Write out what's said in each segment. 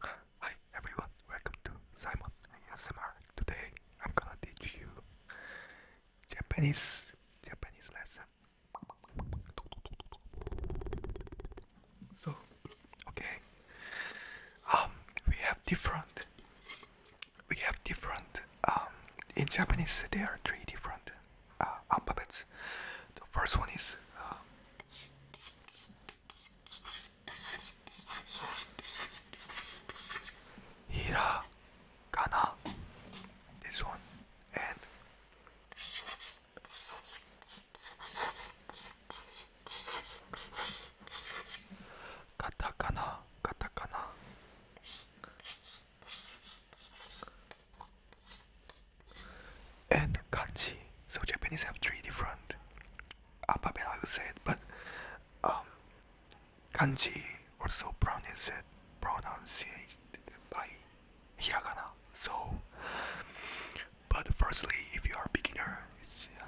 Hi everyone, welcome to Simon ASMR. Today I'm gonna teach you Japanese Japanese lesson. So okay um we have different we have different um in Japanese there are three different uh, alphabets. Um, the first one is uh, hiragana. This one and katakana, katakana and kanji. So Japanese have three different uh, alphabet, I would say, but um, kanji also pronounced pronounced by hiragana. So, but firstly, if you are beginner, uh,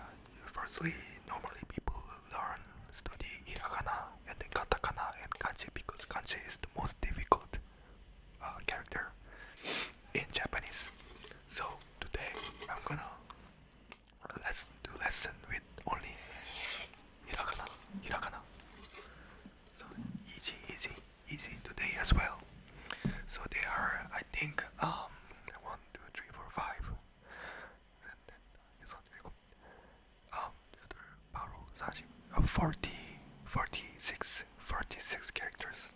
firstly normally people learn study hiragana and then katakana and kanji because kanji is the most difficult uh, character in Japanese. So today I'm gonna let's do lesson with only hiragana, hiragana. So easy, easy, easy today as well. So there are, I think, um, one, two, three, four, five. Um, 40, 46 46 characters.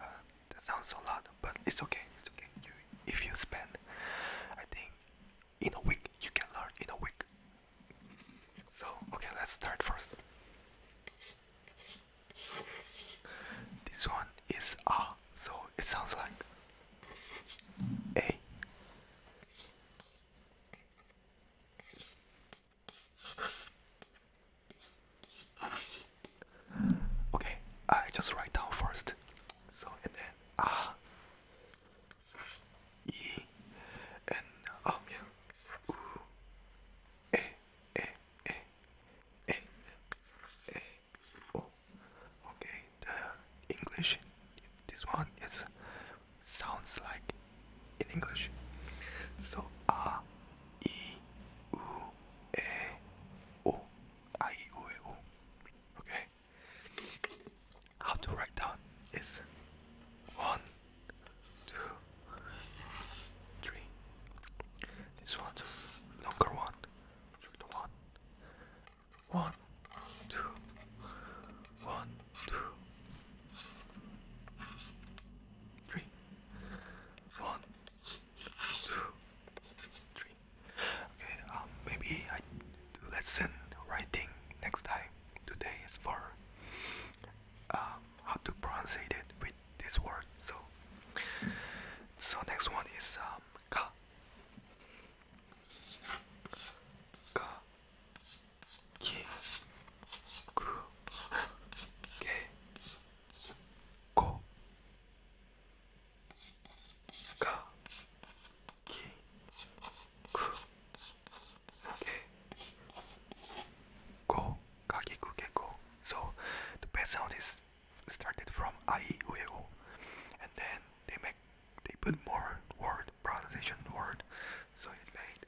Uh, that sounds a lot, but it's okay. It's okay. You, if you spend, I think, in a week, you can learn in a week. So, okay, let's start first. This one is A, ah, so it sounds like A. Okay, I just write down first. So and then ah, Okay, the English, this one is sounds like in English. So a, i, u, e, o, a, i, u, e, o. Okay. How to write down is one, two, three. This one just longer one. One, one, two, one, two, three, one, two, three. Okay, um, maybe I do lesson writing next time. Today is for um, how to pronounce it with this word. So, so next one is um, ka. Ka. きくけこがきくけこかきくけこ So the band sound is started from I U E O and then they make they put more word pronunciation word so it made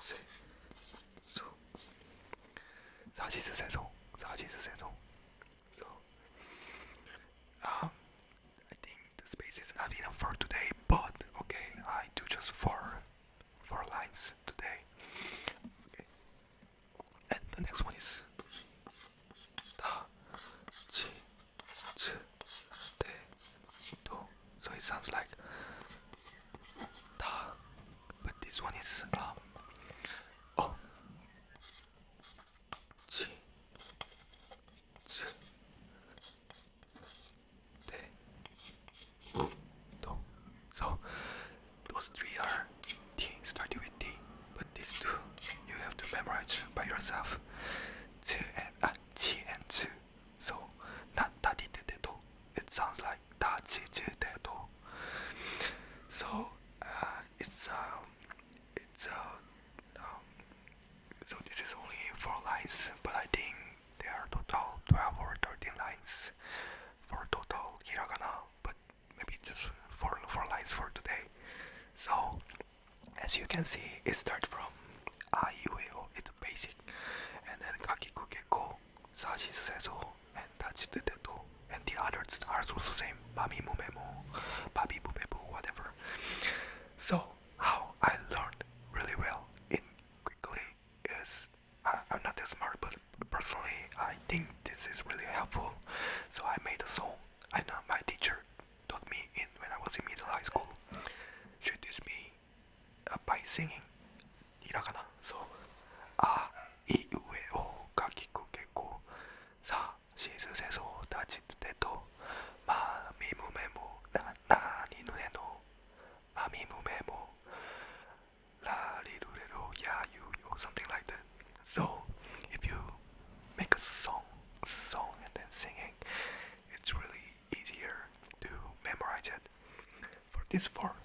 四、五、早起是谁钟？早起是谁钟？So, um, I think the space is not enough for today, but okay, I do just four, four lines today. Okay, and the next one is. 다, so it sounds like ta. But this one is um, oh, chi, zi, te, do. So those three are T, starting with T. But these two you have to memorize by yourself. Zi and ah, uh, chi and zi. So, not taditeteto. It sounds like tachiteteto. So, uh, it's um, it's uh, um, so this is only four lines, but I think there are total twelve or thirteen lines for total hiragana. But maybe just four four lines for today. So, as you can see, it starts from a u e o. It's basic, and then kakikuke ko Sashi Sezo, and Tachi Teteto, and the others are also the same, Mami Mumemo, Babi Bubebu, whatever. So how I learned really well in quickly is I, I'm not that smart, but personally I think this is really helpful. So I made a song. I know my teacher taught me in when I was in middle high school. She teach me by singing ひらがなそうあいうえおがきくけこさあシーズン戦争たちてとまあみむめもななにぬねのまあみむめもラリルレロやゆよ something like that so if you make a song song and then singing it's really easier to memorize it for this part.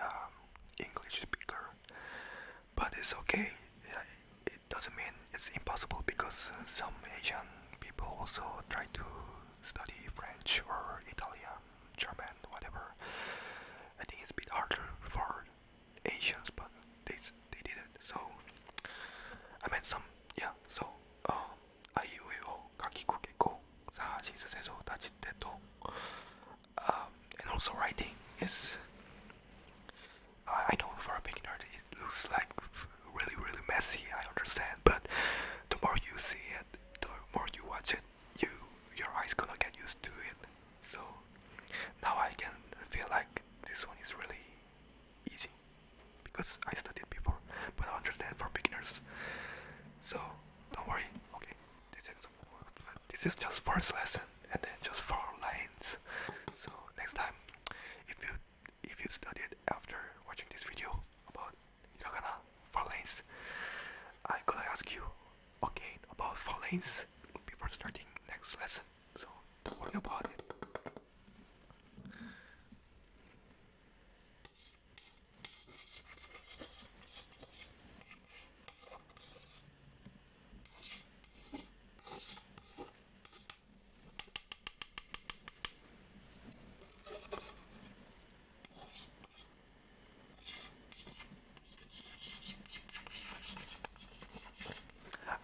Um, English speaker, but it's okay. It doesn't mean it's impossible because some Asian people also try to study French or Italian, German, whatever. I think it's a bit harder for Asians, but they they did it. So I meant some yeah. So um, I U E O 가기국이고 사 시스에서 um, and also writing is I, know for a beginner it looks like really really messy I understand but the more you see it the more you watch it you your eyes gonna get used to it so now I can feel like this one is really easy because I studied before but I understand for beginners so don't worry okay this is just first lesson and then just four lines. So next time, if you if you studied after watching this video about hiragana four lanes, I'm gonna ask you again about four lanes before starting next lesson. So don't worry about it.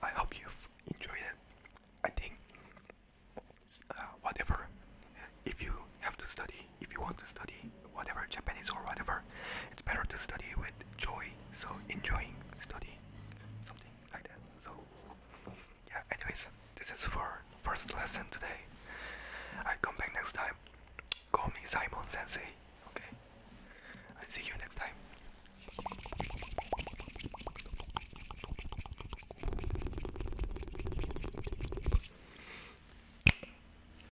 I hope you've enjoyed it. I think uh, whatever, if you have to study if you want to study whatever Japanese or whatever, it's better to study with joy. So enjoying study, something like that. So yeah. Anyways, this is for first lesson today. I come back next time. Call me Simon Sensei. Okay. I see you next time.